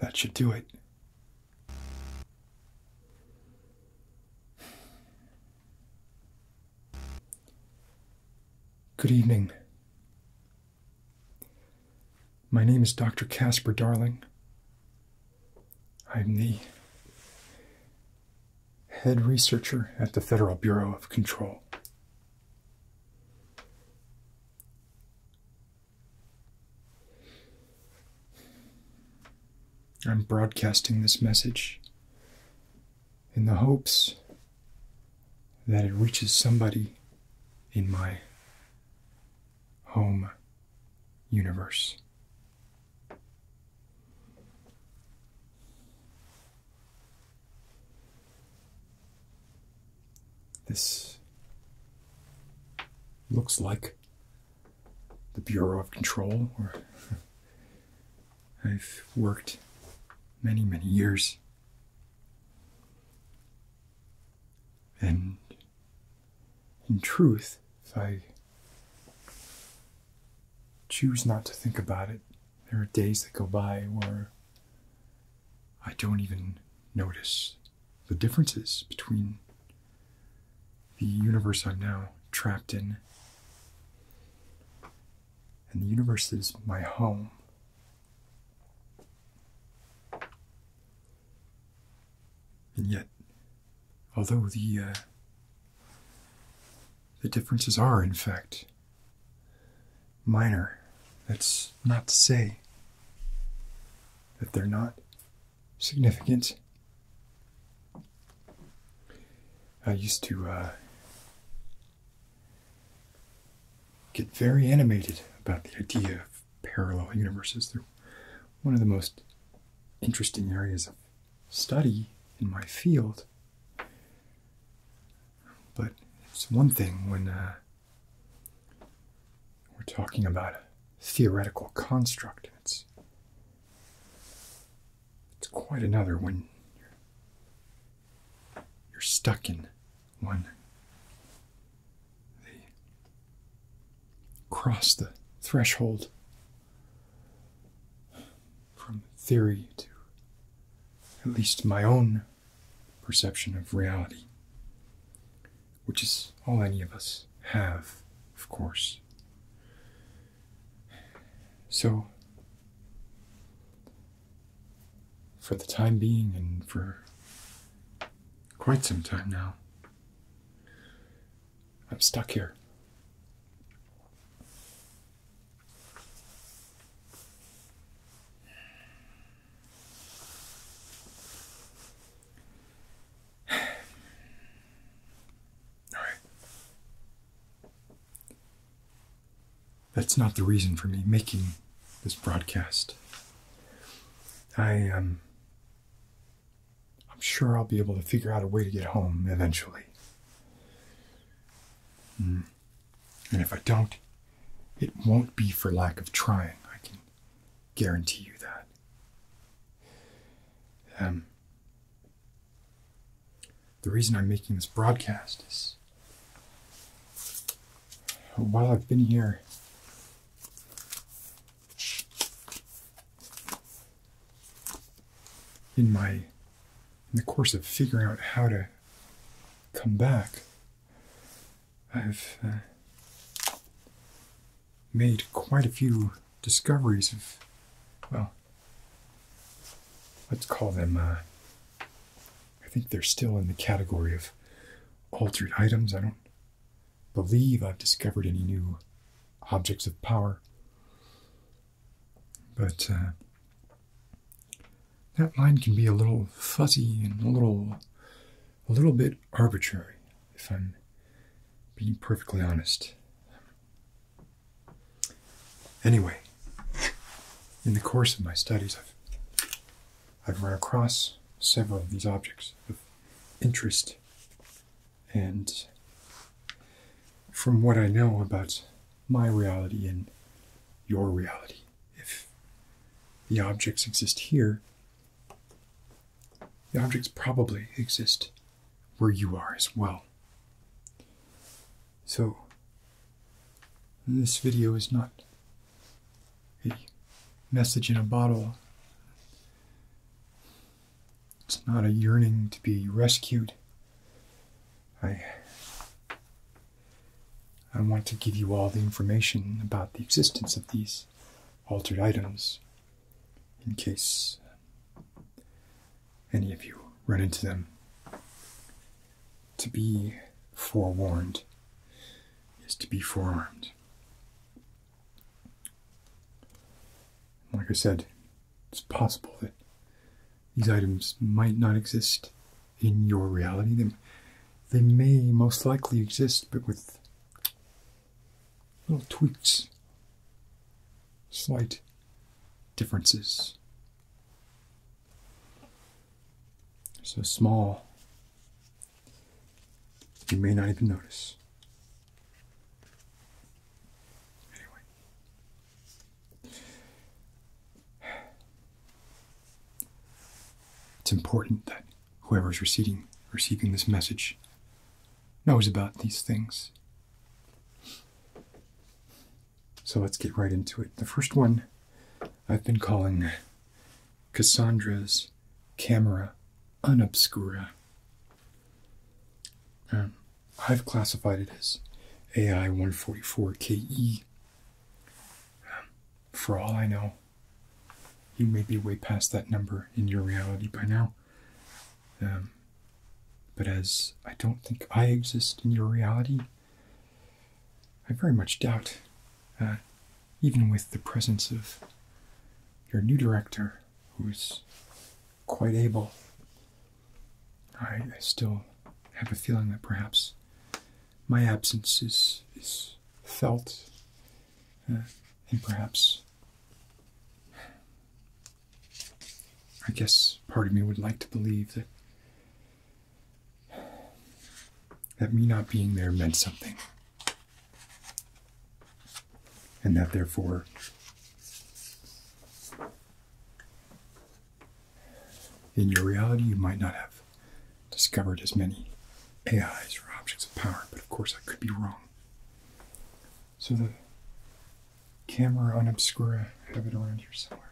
That should do it. Good evening. My name is Dr. Casper Darling. I'm the head researcher at the Federal Bureau of Control. I'm broadcasting this message in the hopes that it reaches somebody in my home universe. This looks like the Bureau of Control, where I've worked many, many years. And in truth, if I choose not to think about it, there are days that go by where I don't even notice the differences between the universe I'm now trapped in and the universe that is my home. And yet, although the uh, the differences are, in fact, minor, that's not to say that they're not significant. I used to uh, get very animated about the idea of parallel universes. They're one of the most interesting areas of study in my field. But it's one thing when uh, we're talking about a theoretical construct. It's, it's quite another when you're stuck in one they cross the threshold from theory to at least my own perception of reality, which is all any of us have, of course. So, for the time being, and for quite some time now, I'm stuck here. All right. That's not the reason for me making this broadcast. I um I'm sure I'll be able to figure out a way to get home eventually. Hmm. And if I don't, it won't be for lack of trying. I can guarantee you that. Um, the reason I'm making this broadcast is while I've been here in my in the course of figuring out how to come back i've uh, made quite a few discoveries of well let's call them uh, i think they're still in the category of altered items i don't believe I've discovered any new objects of power. But uh, that line can be a little fuzzy and a little, a little bit arbitrary, if I'm being perfectly honest. Anyway, in the course of my studies, I've, I've run across several of these objects of interest and from what I know about my reality and your reality, if the objects exist here, the objects probably exist where you are as well. So, this video is not a message in a bottle. It's not a yearning to be rescued. I I want to give you all the information about the existence of these altered items in case any of you run into them. To be forewarned is to be forearmed. Like I said, it's possible that these items might not exist in your reality. They, may most likely exist, but with little tweaks, slight differences. So small, you may not even notice. it's important that whoever is receiving this message knows about these things. So let's get right into it. The first one I've been calling Cassandra's Camera Unobscura. Um, I've classified it as AI 144KE. Um, for all I know, you may be way past that number in your reality by now. Um, but as I don't think I exist in your reality, I very much doubt, uh, even with the presence of your new director, who's quite able. I, still have a feeling that perhaps my absence is, is felt, uh, and perhaps I guess part of me would like to believe that that me not being there meant something and that therefore in your reality you might not have discovered as many AIs or objects of power, but of course I could be wrong. So the camera on Obscura, I have it around here somewhere.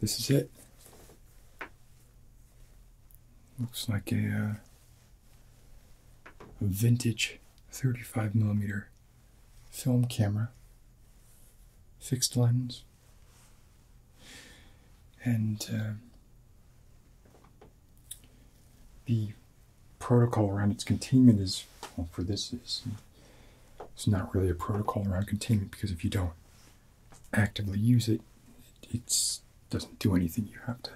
This is it. Looks like uh, a, vintage 35 millimeter film camera, fixed lens, and uh, the protocol around its containment is well, for this is it's not really a protocol around containment because if you don't actively use it, it doesn't do anything. You have to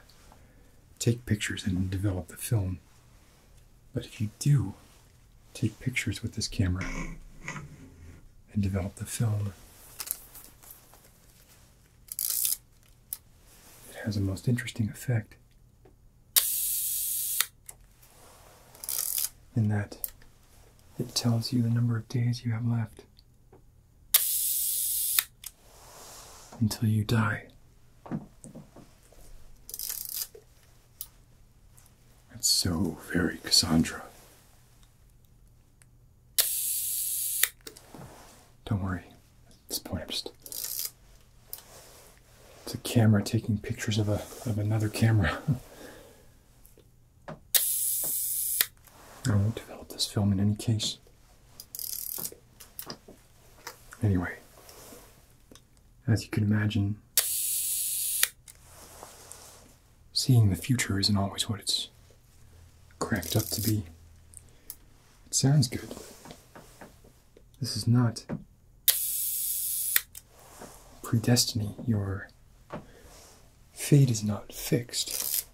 take pictures and develop the film. But if you do take pictures with this camera and develop the film, it has a most interesting effect in that it tells you the number of days you have left until you die. That's so very Cassandra. Don't worry, at this point It's a camera taking pictures of, a, of another camera. I won't develop this film in any case. Anyway, as you can imagine, seeing the future isn't always what it's cracked up to be. It sounds good. This is not predestiny, your Fate is not fixed.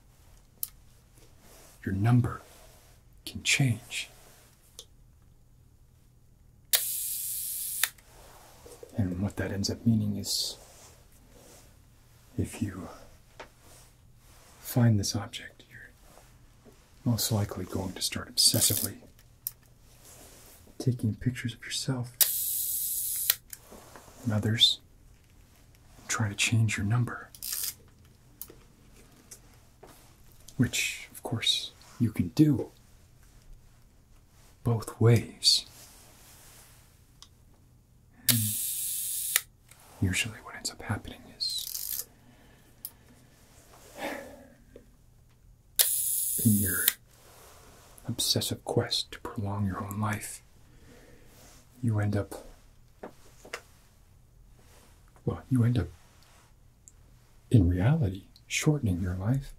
Your number can change. And what that ends up meaning is if you find this object, you're most likely going to start obsessively taking pictures of yourself and others try to change your number. Which, of course, you can do both ways. usually, what ends up happening is in your obsessive quest to prolong your own life, you end up, well, you end up in reality shortening your life.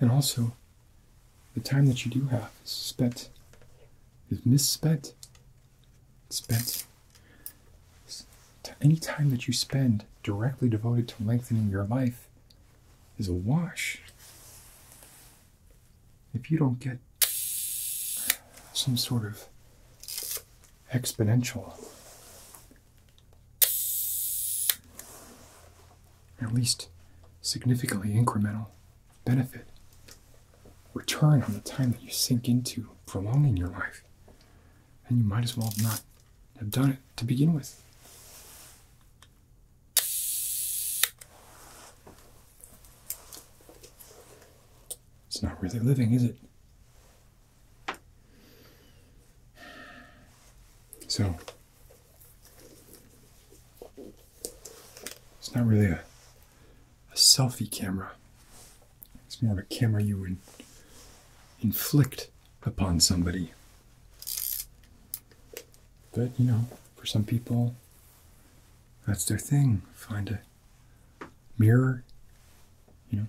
And also, the time that you do have is spent, is misspent. Spent. Any time that you spend directly devoted to lengthening your life is a wash if you don't get some sort of exponential, at least significantly incremental benefit, return on the time that you sink into prolonging your life, then you might as well not have done it to begin with. It's not really living, is it? So, it's not really a, a selfie camera. It's more of a camera you would inflict upon somebody. But, you know, for some people, that's their thing. Find a mirror, you know,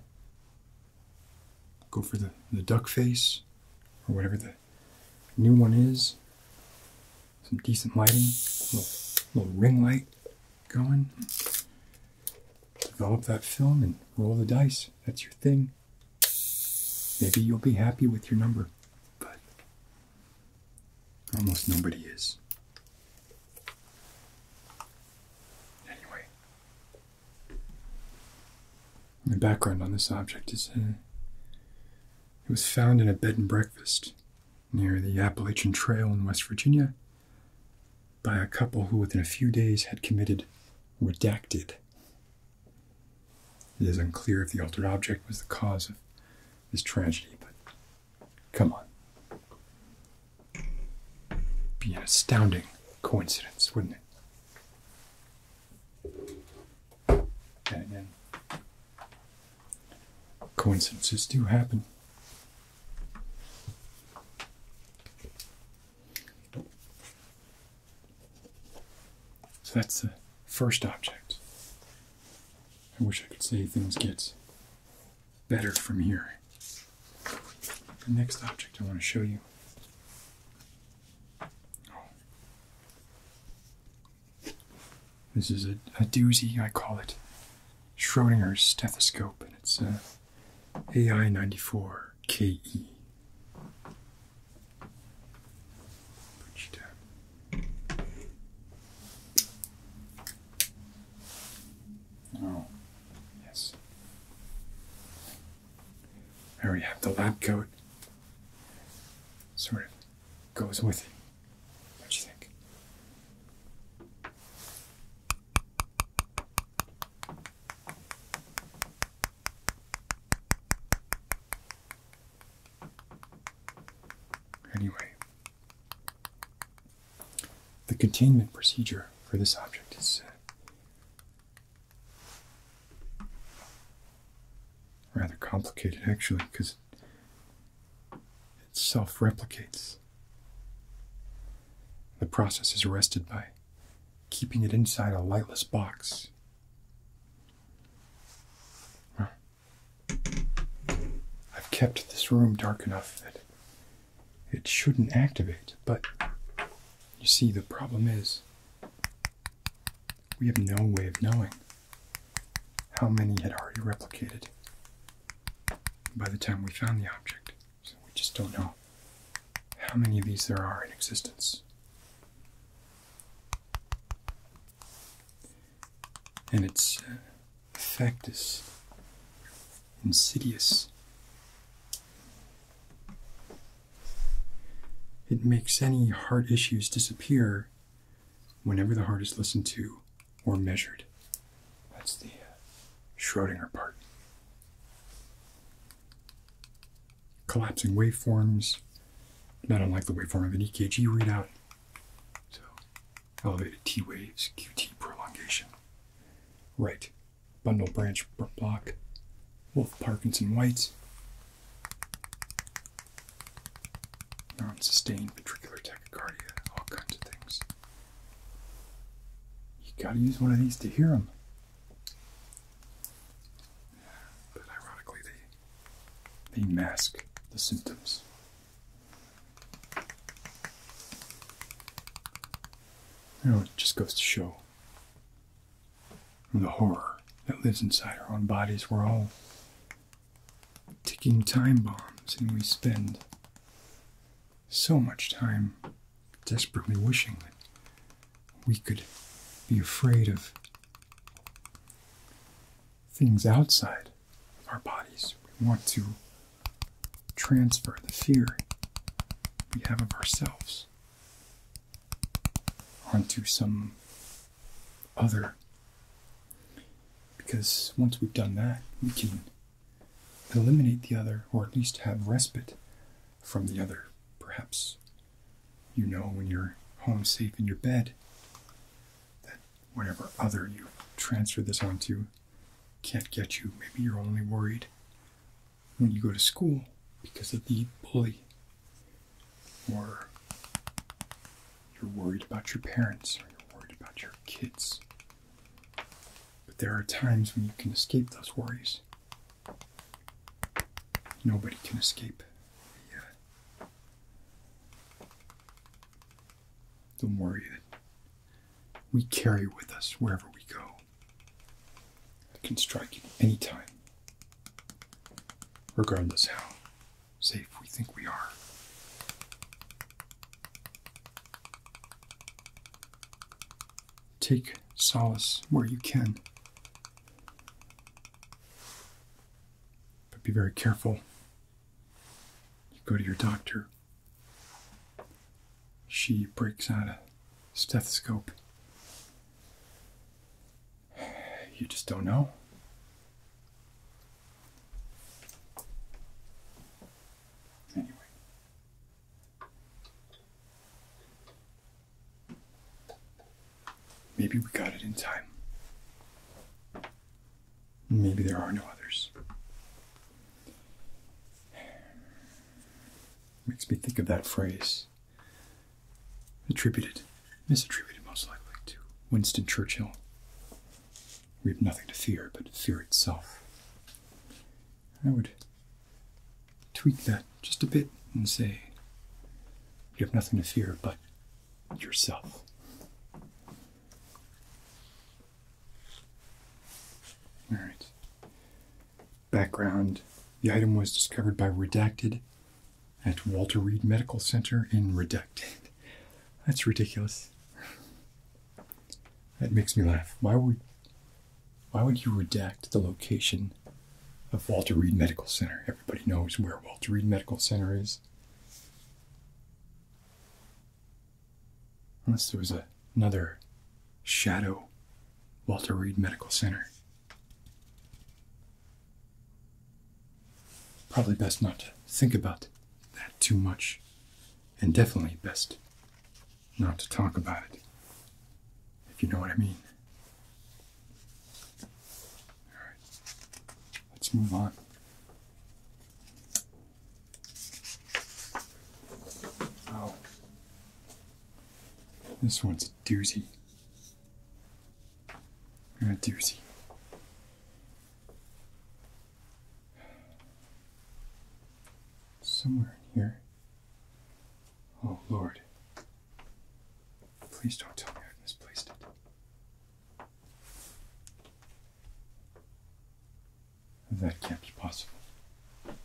go for the, the duck face or whatever the new one is. Some decent lighting, a little, little ring light going. Develop that film and roll the dice. That's your thing. Maybe you'll be happy with your number, but Almost nobody is. Anyway, the background on this object is uh, it was found in a bed and breakfast near the Appalachian Trail in West Virginia by a couple who, within a few days, had committed redacted. It is unclear if the altered object was the cause of this tragedy, but come on. Be an astounding coincidence, wouldn't it? And, coincidences do happen. So that's the first object. I wish I could say things get better from here. The next object I want to show you. This is a, doozy, I call it. Schrodinger's stethoscope, and it's uh, a AI94KE. Put you down. Oh, yes. There we have the lab coat. Sort of goes with it. What you think? Anyway, the containment procedure for this object is rather complicated actually because it self replicates. The process is arrested by keeping it inside a lightless box. I've kept this room dark enough that it shouldn't activate, but you see, the problem is we have no way of knowing how many had already replicated by the time we found the object. So we just don't know how many of these there are in existence and its uh, effect is insidious. It makes any heart issues disappear whenever the heart is listened to or measured. That's the uh, Schrodinger part. Collapsing waveforms, not unlike the waveform of an EKG readout. So, elevated T waves, QT prolongation. Right, bundle branch block, Wolf Parkinson White's, non sustained ventricular tachycardia, all kinds of things. You gotta use one of these to hear them. But ironically, they, they mask the symptoms. Oh, it just goes to show the horror that lives inside our own bodies. We're all ticking time bombs, and we spend so much time desperately wishing that we could be afraid of things outside our bodies. We want to transfer the fear we have of ourselves onto some other. Because once we've done that, we can eliminate the other, or at least have respite from the other. Perhaps you know when you're home safe in your bed whatever other you transfer this onto can't get you. Maybe you're only worried when you go to school because of the bully, or you're worried about your parents, or you're worried about your kids. But there are times when you can escape those worries. Nobody can escape don't worry we carry with us wherever we go. It can strike at any time, regardless how safe we think we are. Take solace where you can, but be very careful you go to your doctor. She breaks out a stethoscope. You just don't know. Anyway. Maybe we got it in time. Maybe there are no others. Makes me think of that phrase, attributed, misattributed most likely, to Winston Churchill. We have nothing to fear but fear itself. I would tweak that just a bit and say, you have nothing to fear but yourself. All right. Background The item was discovered by Redacted at Walter Reed Medical Center in Redacted. That's ridiculous. That makes me laugh. Why would why would you redact the location of Walter Reed Medical Center? Everybody knows where Walter Reed Medical Center is. Unless there was another shadow Walter Reed Medical Center. Probably best not to think about that too much, and definitely best not to talk about it, if you know what I mean. All right, let's move on. Oh. This one's a doozy. A doozy. Somewhere in here. Oh, Lord. Please don't tell me I've misplaced it. That can't be possible. I'm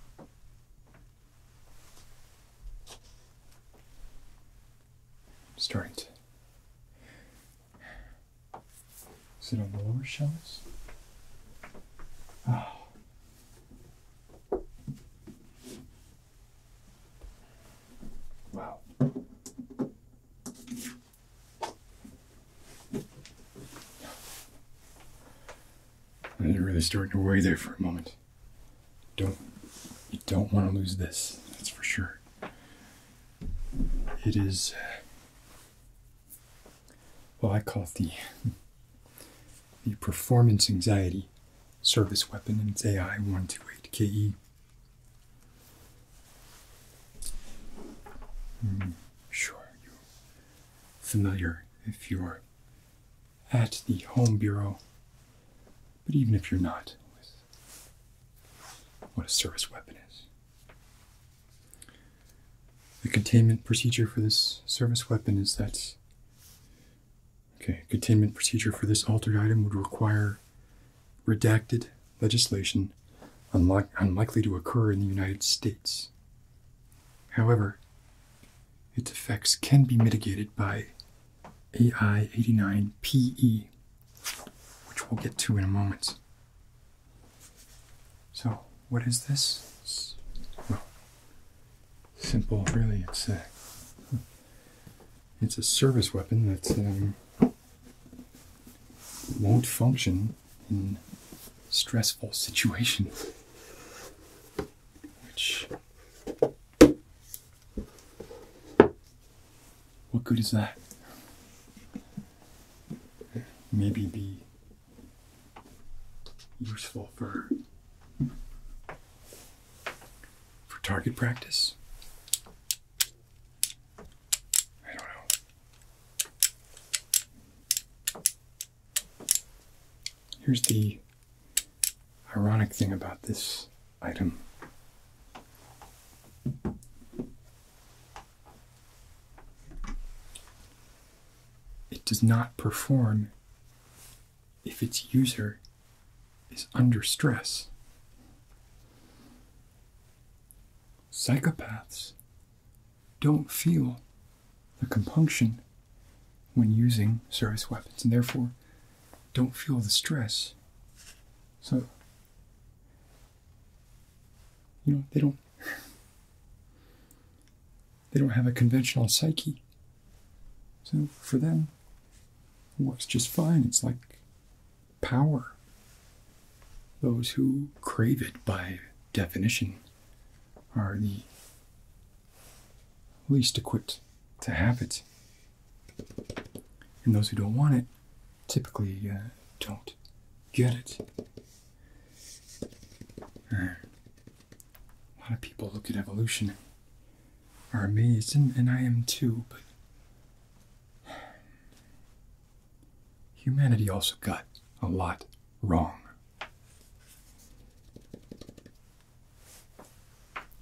starting to sit on the lower shelves. Ah. Wow. And you're really starting to weigh there for a moment. Don't you don't want to lose this, that's for sure. It is well I call it the the performance anxiety service weapon and it's AI one two eight KE. Hmm. sure, familiar if you're at the Home Bureau, but even if you're not, with what a service weapon is. The containment procedure for this service weapon is that. Okay, containment procedure for this altered item would require redacted legislation unlikely to occur in the United States. However, its effects can be mitigated by AI 89PE, which we'll get to in a moment. So, what is this? well, simple, really. It's a, it's a service weapon that's um, won't function in stressful situations, which what good is that? Maybe be useful for for target practice. I don't know. Here's the ironic thing about this item. It does not perform if its user is under stress. Psychopaths don't feel the compunction when using service weapons and therefore don't feel the stress. So, you know, they don't. They don't have a conventional psyche. So for them, it works just fine. It's like power, those who crave it by definition are the least equipped to have it. And those who don't want it typically uh, don't get it. a lot of people look at evolution are amazed, and, and I am too, but humanity also got a lot wrong.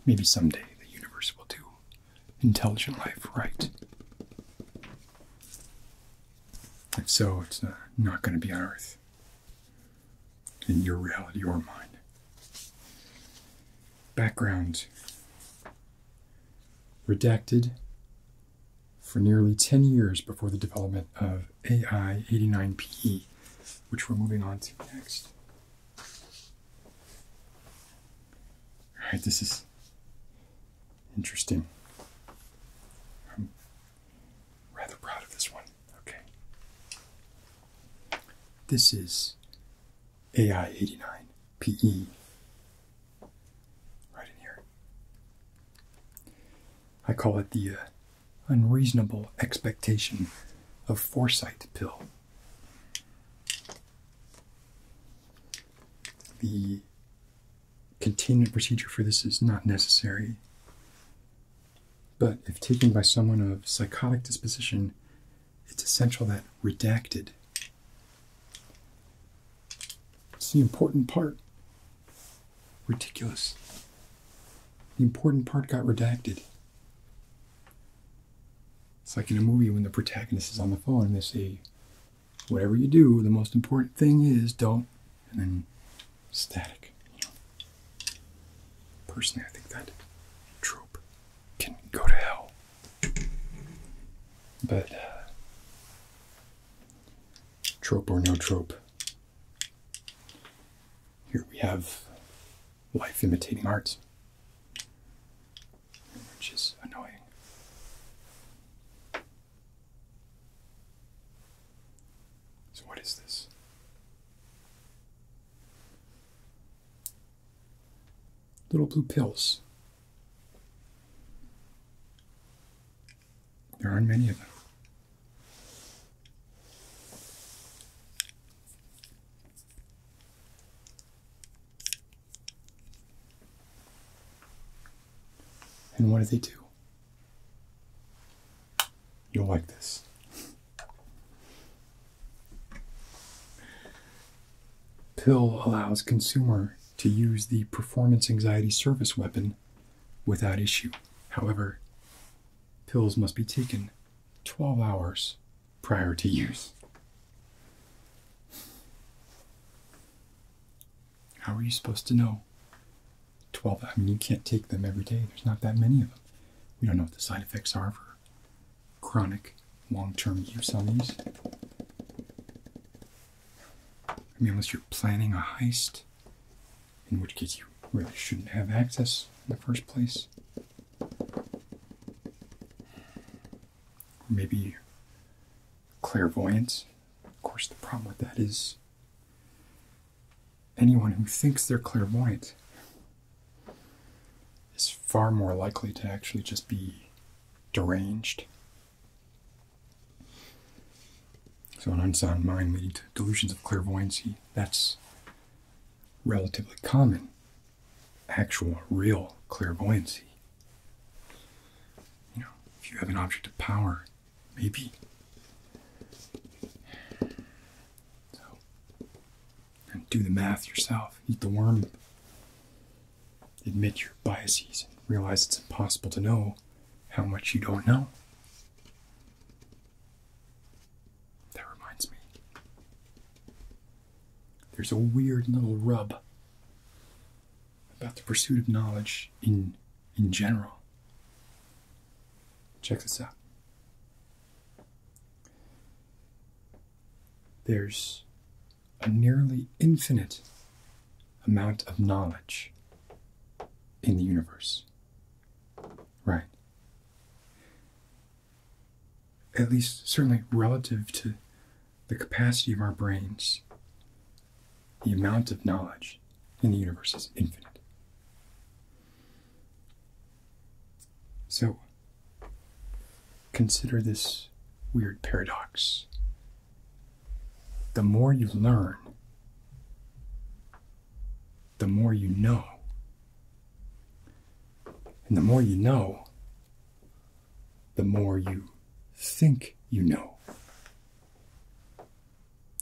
Maybe someday the universe will do intelligent life right. If so, it's not, going to be on Earth. In your reality or mine. Background redacted for nearly 10 years before the development of AI 89PE, which we're moving on to next. All right, this is interesting. I'm rather proud of this one. Okay. This is AI 89PE right in here. I call it the uh, unreasonable expectation of foresight pill. The containment procedure for this is not necessary, but if taken by someone of psychotic disposition, it's essential that redacted. It's the important part Ridiculous. The important part got redacted. It's like in a movie when the protagonist is on the phone and they say, whatever you do, the most important thing is don't, and then static. Personally, I think that trope can go to hell. But uh, trope or no trope. Here we have life imitating art, which is annoying. So, what is this? Little blue pills. There aren't many of them. And what do they do? You'll like this. Pill allows consumer to use the performance anxiety service weapon without issue. However, pills must be taken 12 hours prior to use. How are you supposed to know? 12, I mean, you can't take them every day. There's not that many of them. We don't know what the side effects are for chronic long term use on these. I mean, unless you're planning a heist, in which case you really shouldn't have access in the first place. Or maybe clairvoyance. Of course, the problem with that is anyone who thinks they're clairvoyant is far more likely to actually just be deranged so, an unsound mind leading to delusions of clairvoyancy, that's relatively common. Actual, real clairvoyancy. You know, if you have an object of power, maybe. So, do the math yourself. Eat the worm. Admit your biases. Realize it's impossible to know how much you don't know. That reminds me. There's a weird little rub about the pursuit of knowledge in in general. Check this out. There's a nearly infinite amount of knowledge in the universe. Right. At least, certainly relative to the capacity of our brains, the amount of knowledge in the universe is infinite. So, consider this weird paradox the more you learn, the more you know. And the more you know, the more you think you know.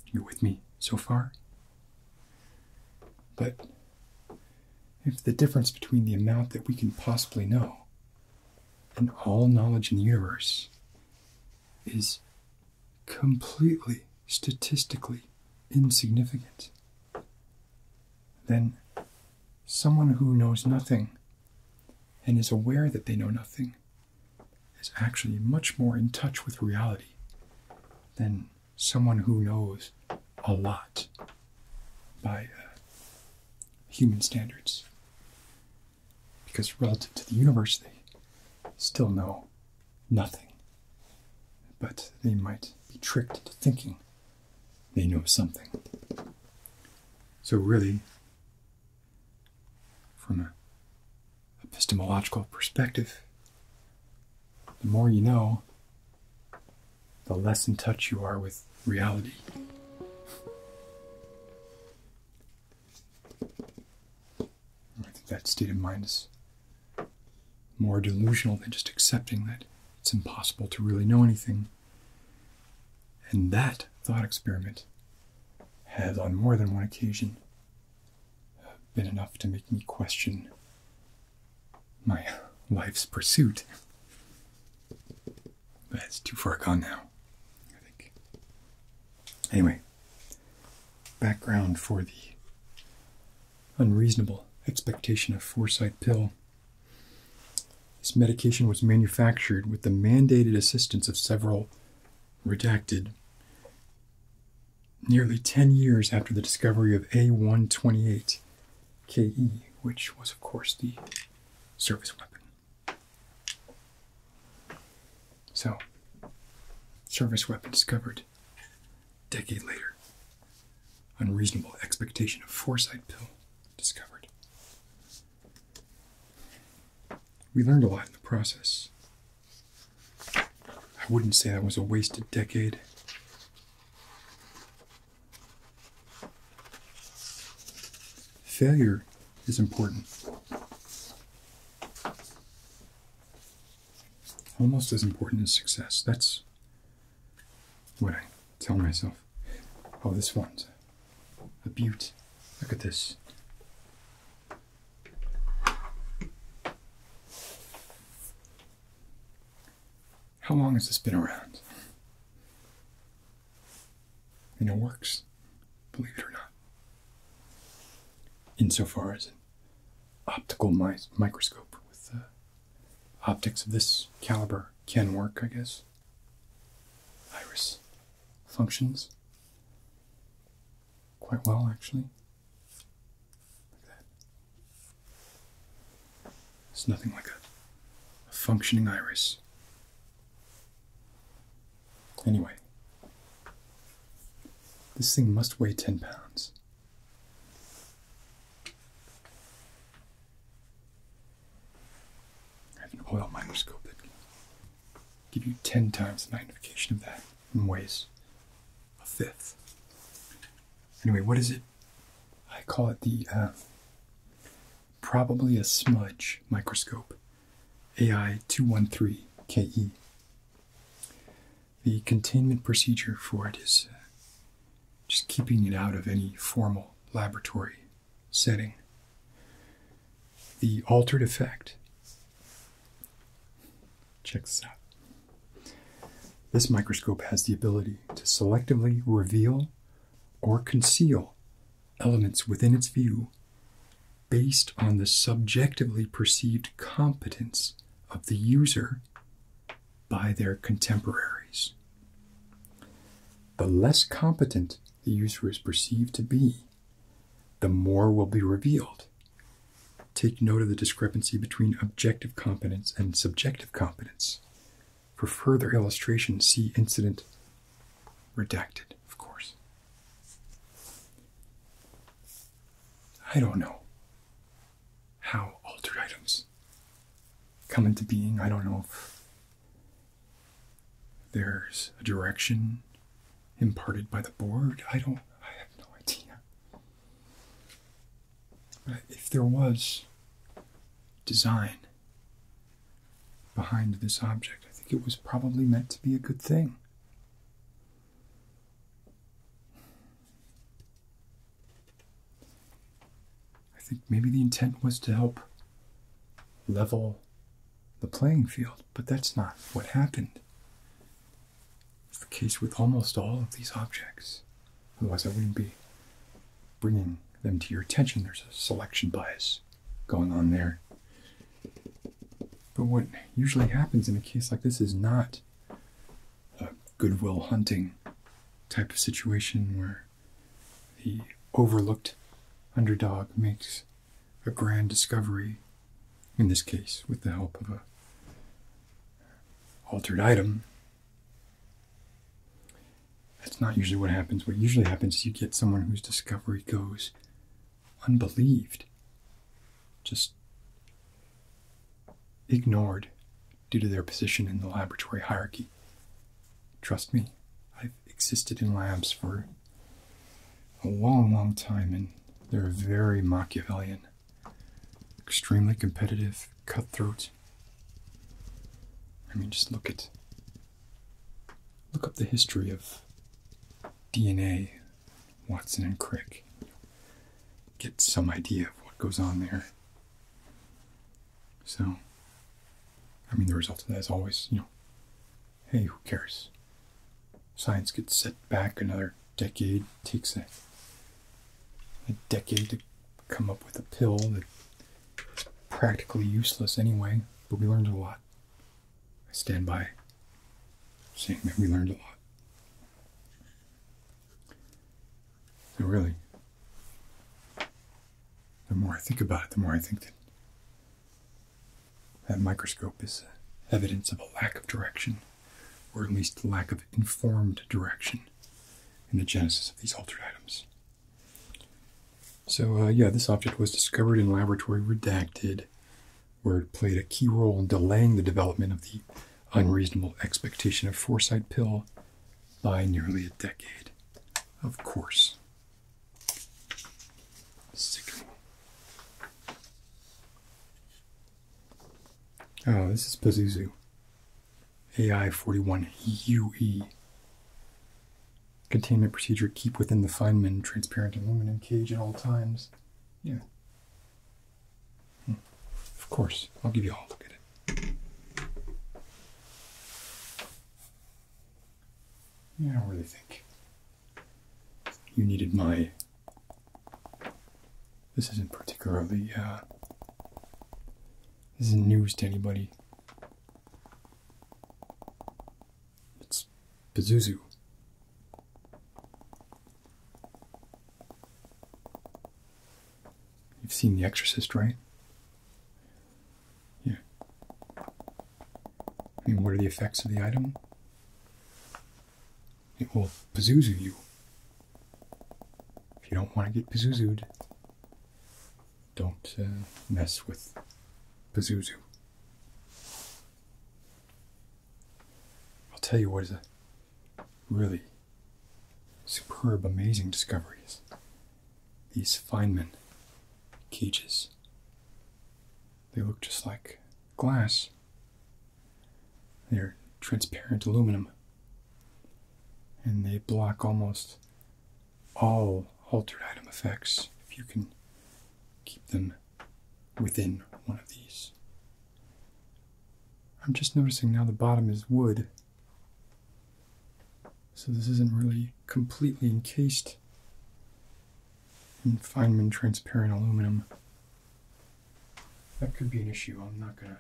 You with me so far? But if the difference between the amount that we can possibly know and all knowledge in the universe is completely statistically insignificant, then someone who knows nothing and is aware that they know nothing is actually much more in touch with reality than someone who knows a lot by uh, human standards because relative to the universe, they still know nothing. But they might be tricked into thinking they know something. So, really, from an epistemological perspective, the more you know, the less in touch you are with reality. I think that state of mind is more delusional than just accepting that it's impossible to really know anything. And that thought experiment has, on more than one occasion, been enough to make me question my life's pursuit. But it's too far gone now. I think. Anyway, background for the unreasonable expectation of foresight pill. This medication was manufactured with the mandated assistance of several redacted nearly 10 years after the discovery of A128 KE, which was, of course, the service weapon. So, service weapon discovered decade later. Unreasonable expectation of foresight pill discovered. We learned a lot in the process. I wouldn't say that was a wasted decade. Failure is important. Almost as important as success. That's what I tell myself. Oh, this one's a beaut. Look at this. How long has this been around? And it works, believe it or not insofar as an optical microscope with optics of this caliber can work, I guess. Iris functions quite well, actually. It's nothing like a functioning iris. Anyway, this thing must weigh 10 pounds. I have an oil microscope that give you 10 times magnification of that and weighs a fifth. Anyway, what is it? I call it the uh, probably a smudge microscope AI213KE. The containment procedure for it is uh, just keeping it out of any formal laboratory setting. The altered effect. Check this out. This microscope has the ability to selectively reveal or conceal elements within its view based on the subjectively perceived competence of the user by their contemporaries. The less competent the user is perceived to be, the more will be revealed. Take note of the discrepancy between objective competence and subjective competence. For further illustration, see incident redacted, of course. I don't know how altered items come into being. I don't know there's a direction imparted by the board. I don't, I have no idea. But if there was design behind this object, I think it was probably meant to be a good thing. I think maybe the intent was to help level the playing field, but that's not what happened. It's the case with almost all of these objects. Otherwise, I wouldn't be bringing them to your attention. There's a selection bias going on there. But what usually happens in a case like this is not a goodwill hunting type of situation where the overlooked underdog makes a grand discovery, in this case with the help of a altered item. That's not usually what happens. What usually happens is you get someone whose discovery goes unbelieved, just ignored due to their position in the laboratory hierarchy. Trust me, I've existed in labs for a long, long time, and they're very Machiavellian, extremely competitive, cutthroat. I mean, just look at look up the history of DNA Watson and Crick. Get some idea of what goes on there. So, I mean, the result of that is always, you know, hey, who cares? Science gets set back another decade, takes a, a decade to come up with a pill that is practically useless anyway, but we learned a lot. I stand by saying that we learned a lot. So, really, the more I think about it, the more I think that that microscope is evidence of a lack of direction, or at least lack of informed direction in the genesis of these altered items. So, uh, yeah, this object was discovered in laboratory redacted where it played a key role in delaying the development of the unreasonable expectation of foresight pill by nearly a decade. Of course. Sickening. Oh, this is Pazuzu. AI41UE. Containment procedure keep within the Feynman transparent aluminum cage at all times. Yeah. Hmm. Of course, I'll give you a look at it. Yeah, I don't really think you needed my. This isn't particularly. Uh, this isn't news to anybody. It's Pazuzu. You've seen The Exorcist, right? Yeah. I mean, what are the effects of the item? It will Pazuzu you. If you don't want to get Pazuzu'd, don't uh, mess with Pazuzu. I'll tell you what is a really superb, amazing discoveries. These Feynman cages. They look just like glass. They're transparent aluminum. And they block almost all altered item effects if you can keep them within one of these. I'm just noticing now the bottom is wood. So this isn't really completely encased in Feynman transparent aluminum. That could be an issue. I'm not gonna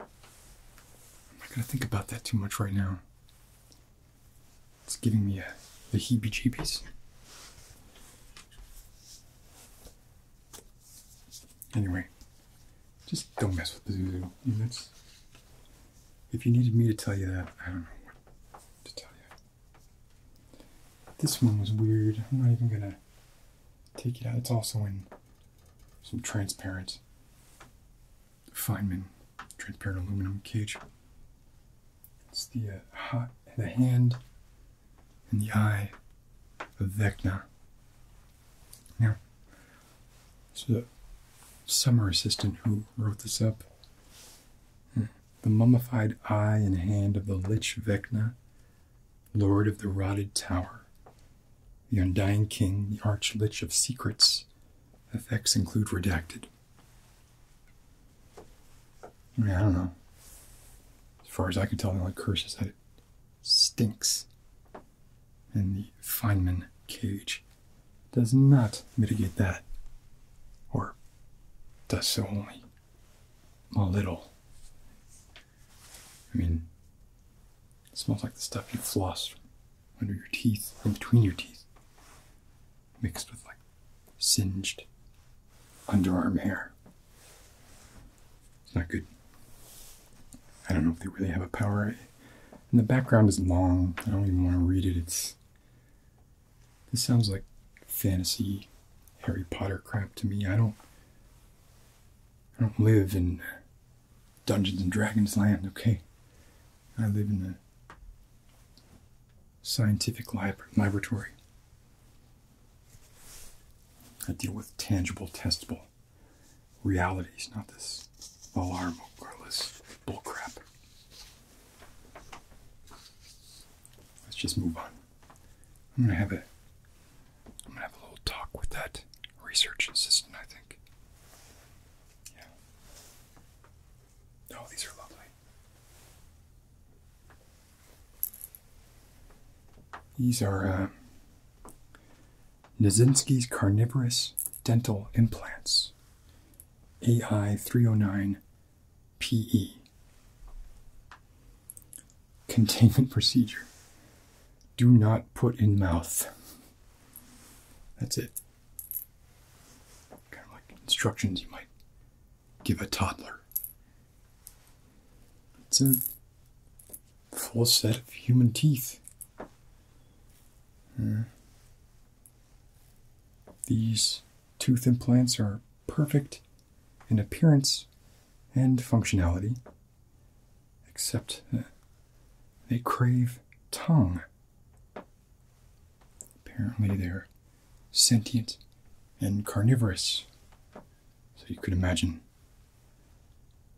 I'm not gonna think about that too much right now. It's giving me a, the heebie jeebies. Anyway, just don't mess with the Zuzu units. If you needed me to tell you that, I don't know what to tell you. This one was weird. I'm not even gonna take it out. It's also in some transparent Feynman transparent aluminum cage. It's the, uh, the hand and the eye of Vecna. Now, it's the summer assistant who wrote this up. Hmm. The mummified eye and hand of the Lich Vecna, Lord of the Rotted Tower, the Undying King, the Arch Lich of Secrets. Effects include redacted. I don't know. As far as I can tell, the only curse is that it stinks. And the Feynman cage does not mitigate that, or does so only a little. I mean, it smells like the stuff you floss under your teeth, in between your teeth, mixed with like singed underarm hair. It's not good. I don't know if they really have a power. And the background is long. I don't even want to read it. It's. This sounds like fantasy Harry Potter crap to me. I don't. I don't live in Dungeons and Dragons land, okay? I live in the scientific laboratory. I deal with tangible, testable realities, not this alarm regardless bullcrap. Let's just move on. I'm gonna have a I'm gonna have a little talk with that research assistant, I think. Yeah. Oh, these are lovely. These are uh, Carnivorous Dental Implants, AI 309 PE. Containment procedure. Do not put in mouth. That's it. Kind of like instructions you might give a toddler. It's a full set of human teeth. Hmm. These tooth implants are perfect in appearance and functionality, except they crave tongue. Apparently, they're sentient, and carnivorous. So you could imagine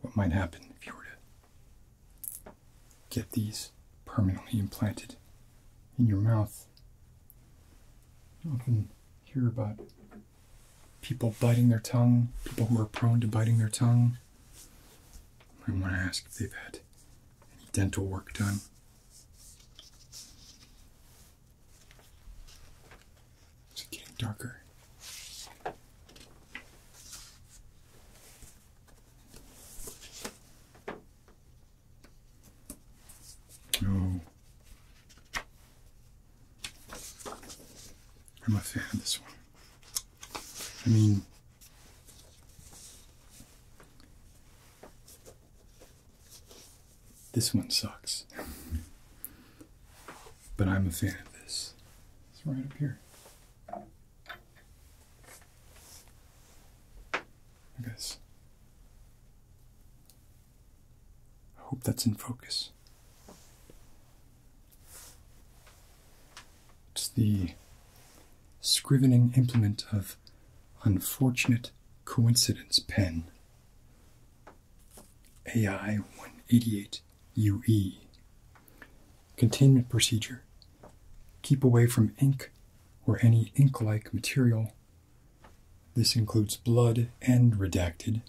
what might happen if you were to get these permanently implanted in your mouth. You often hear about people biting their tongue, people who are prone to biting their tongue. I want to ask if they've had any dental work done. It's getting darker? Oh. I'm a fan of this one. I mean, this one sucks. But I'm a fan of this. It's right up here. Like this. I hope that's in focus. It's the scrivening implement of unfortunate coincidence pen AI 188 UE. Containment procedure. Keep away from ink or any ink like material. This includes blood and redacted.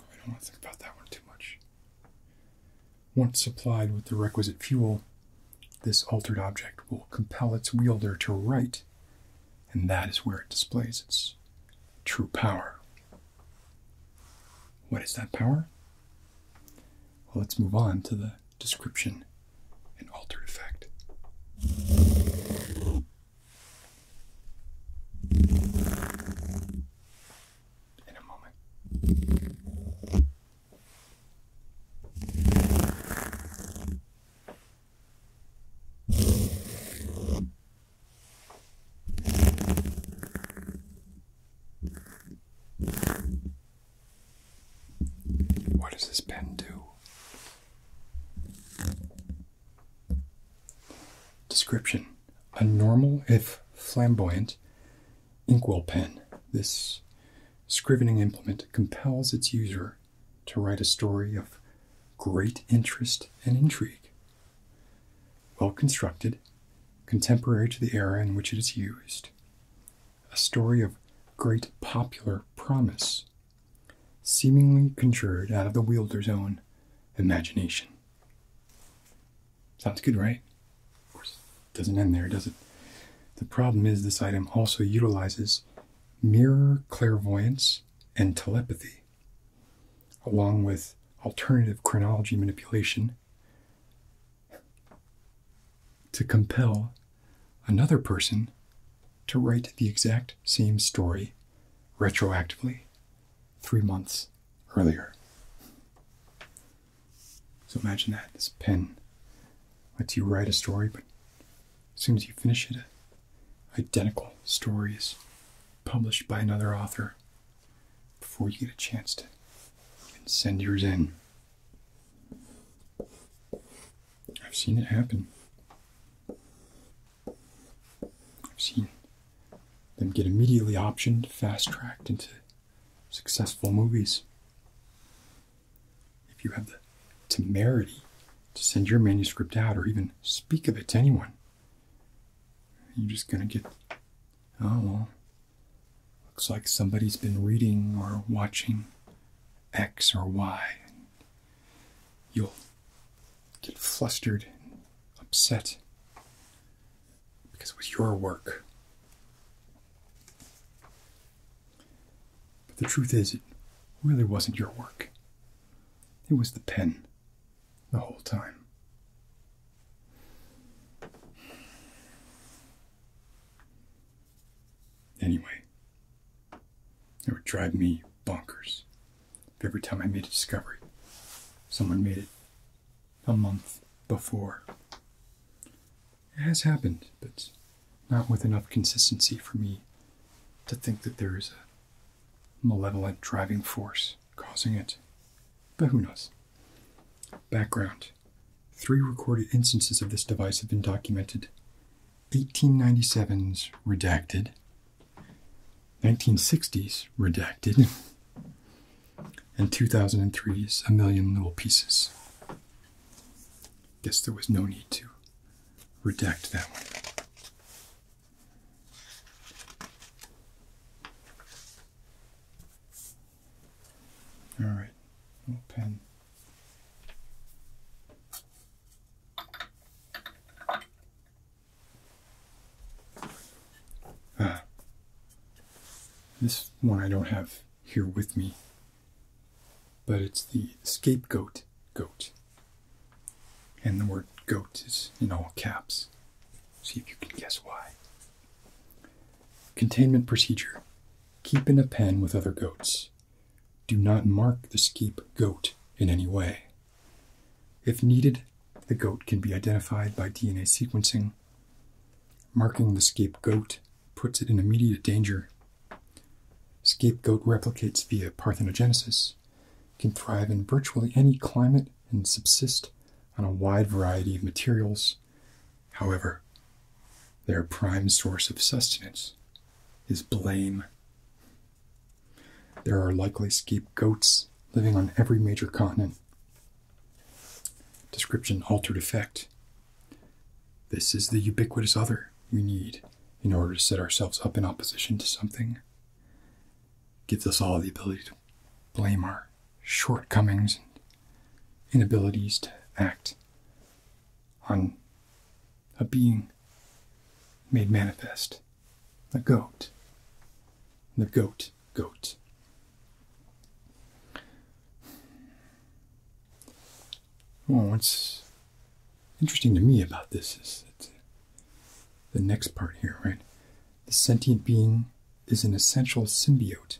I don't want to think about that one too much. Once supplied with the requisite fuel, this altered object will compel its wielder to write and that is where it displays its true power. What is that power? Well, let's move on to the description and altered effect. In a moment. What does this pen do? Description A normal, if flamboyant, inkwell pen. This scrivening implement compels its user to write a story of great interest and intrigue, well constructed, contemporary to the era in which it is used, a story of great popular promise, seemingly conjured out of the wielder's own imagination. Sounds good, right? Of course, doesn't end there, does it? The problem is this item also utilizes mirror clairvoyance and telepathy, along with alternative chronology manipulation to compel another person to write the exact same story retroactively three months earlier. So imagine that this pen lets you write a story, but as soon as you finish it, identical stories published by another author before you get a chance to send yours in. I've seen it happen. I've seen them get immediately optioned, fast tracked into successful movies. If you have the temerity to send your manuscript out or even speak of it to anyone. You're just going to get, oh, looks like somebody's been reading or watching X or Y. You'll get flustered upset because it was your work. But the truth is, it really wasn't your work. It was the pen the whole time. Anyway, it would drive me bonkers if every time I made a discovery, someone made it a month before. It has happened, but not with enough consistency for me to think that there is a malevolent driving force causing it. But who knows? Background Three recorded instances of this device have been documented 1897's redacted, 1960's redacted, and 2003's A Million Little Pieces. Guess there was no need to redact that one. All right, pen. Ah, this one I don't have here with me, but it's the scapegoat goat. And the word goat is in all caps. See if you can guess why. Containment procedure. Keep in a pen with other goats. Do not mark the skeep goat in any way. If needed, the goat can be identified by DNA sequencing. Marking the scapegoat puts it in immediate danger. Scapegoat replicates via parthenogenesis, can thrive in virtually any climate and subsist on a wide variety of materials. However, their prime source of sustenance is blame. There are likely goats living on every major continent. Description altered effect. This is the ubiquitous other we need in order to set ourselves up in opposition to something gives us all the ability to blame our shortcomings and inabilities to act on a being made manifest, the goat, the goat, goat. Well, once interesting to me about this is the next part here, right? The sentient being is an essential symbiote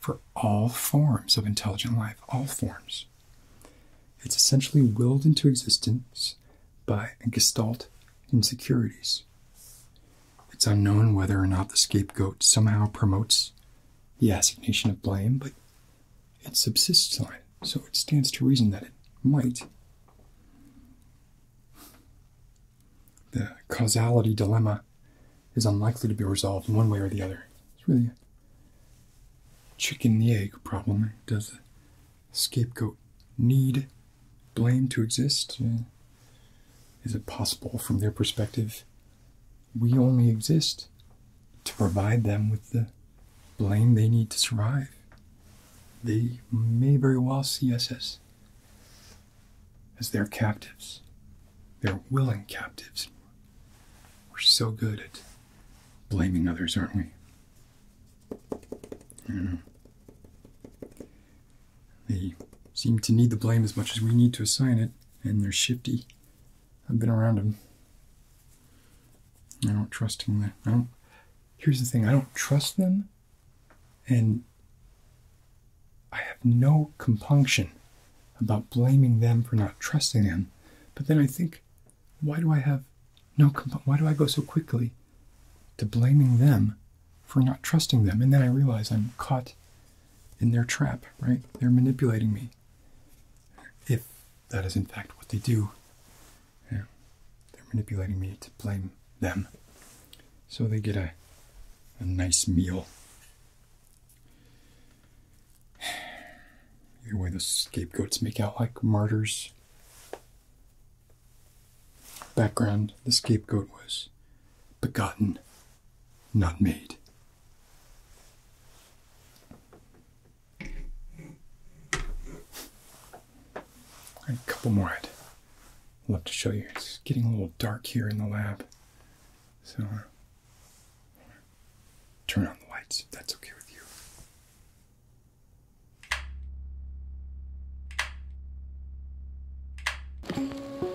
for all forms of intelligent life, all forms. It's essentially willed into existence by a gestalt insecurities. It's unknown whether or not the scapegoat somehow promotes the assignation of blame, but it subsists on it, so it stands to reason that it might. The causality dilemma is unlikely to be resolved one way or the other. It's really a chicken and egg problem. Does the scapegoat need blame to exist? Is it possible from their perspective? We only exist to provide them with the blame they need to survive. They may very well see us as, as their captives, their willing captives. We're so good at blaming others, aren't we? They seem to need the blame as much as we need to assign it, and they're shifty. I've been around them. I don't trust him here's the thing I don't trust them, and I have no compunction about blaming them for not trusting them. But then I think, why do I have no why do I go so quickly to blaming them for not trusting them? And then I realize I'm caught in their trap, right? They're manipulating me. If that is in fact what they do. Yeah. They're manipulating me to blame them. So they get a a nice meal. The way, the scapegoats make out like martyrs. Background The scapegoat was begotten, not made a couple more I'd love to show you. It's getting a little dark here in the lab, so uh, turn on the lights if that's okay with you.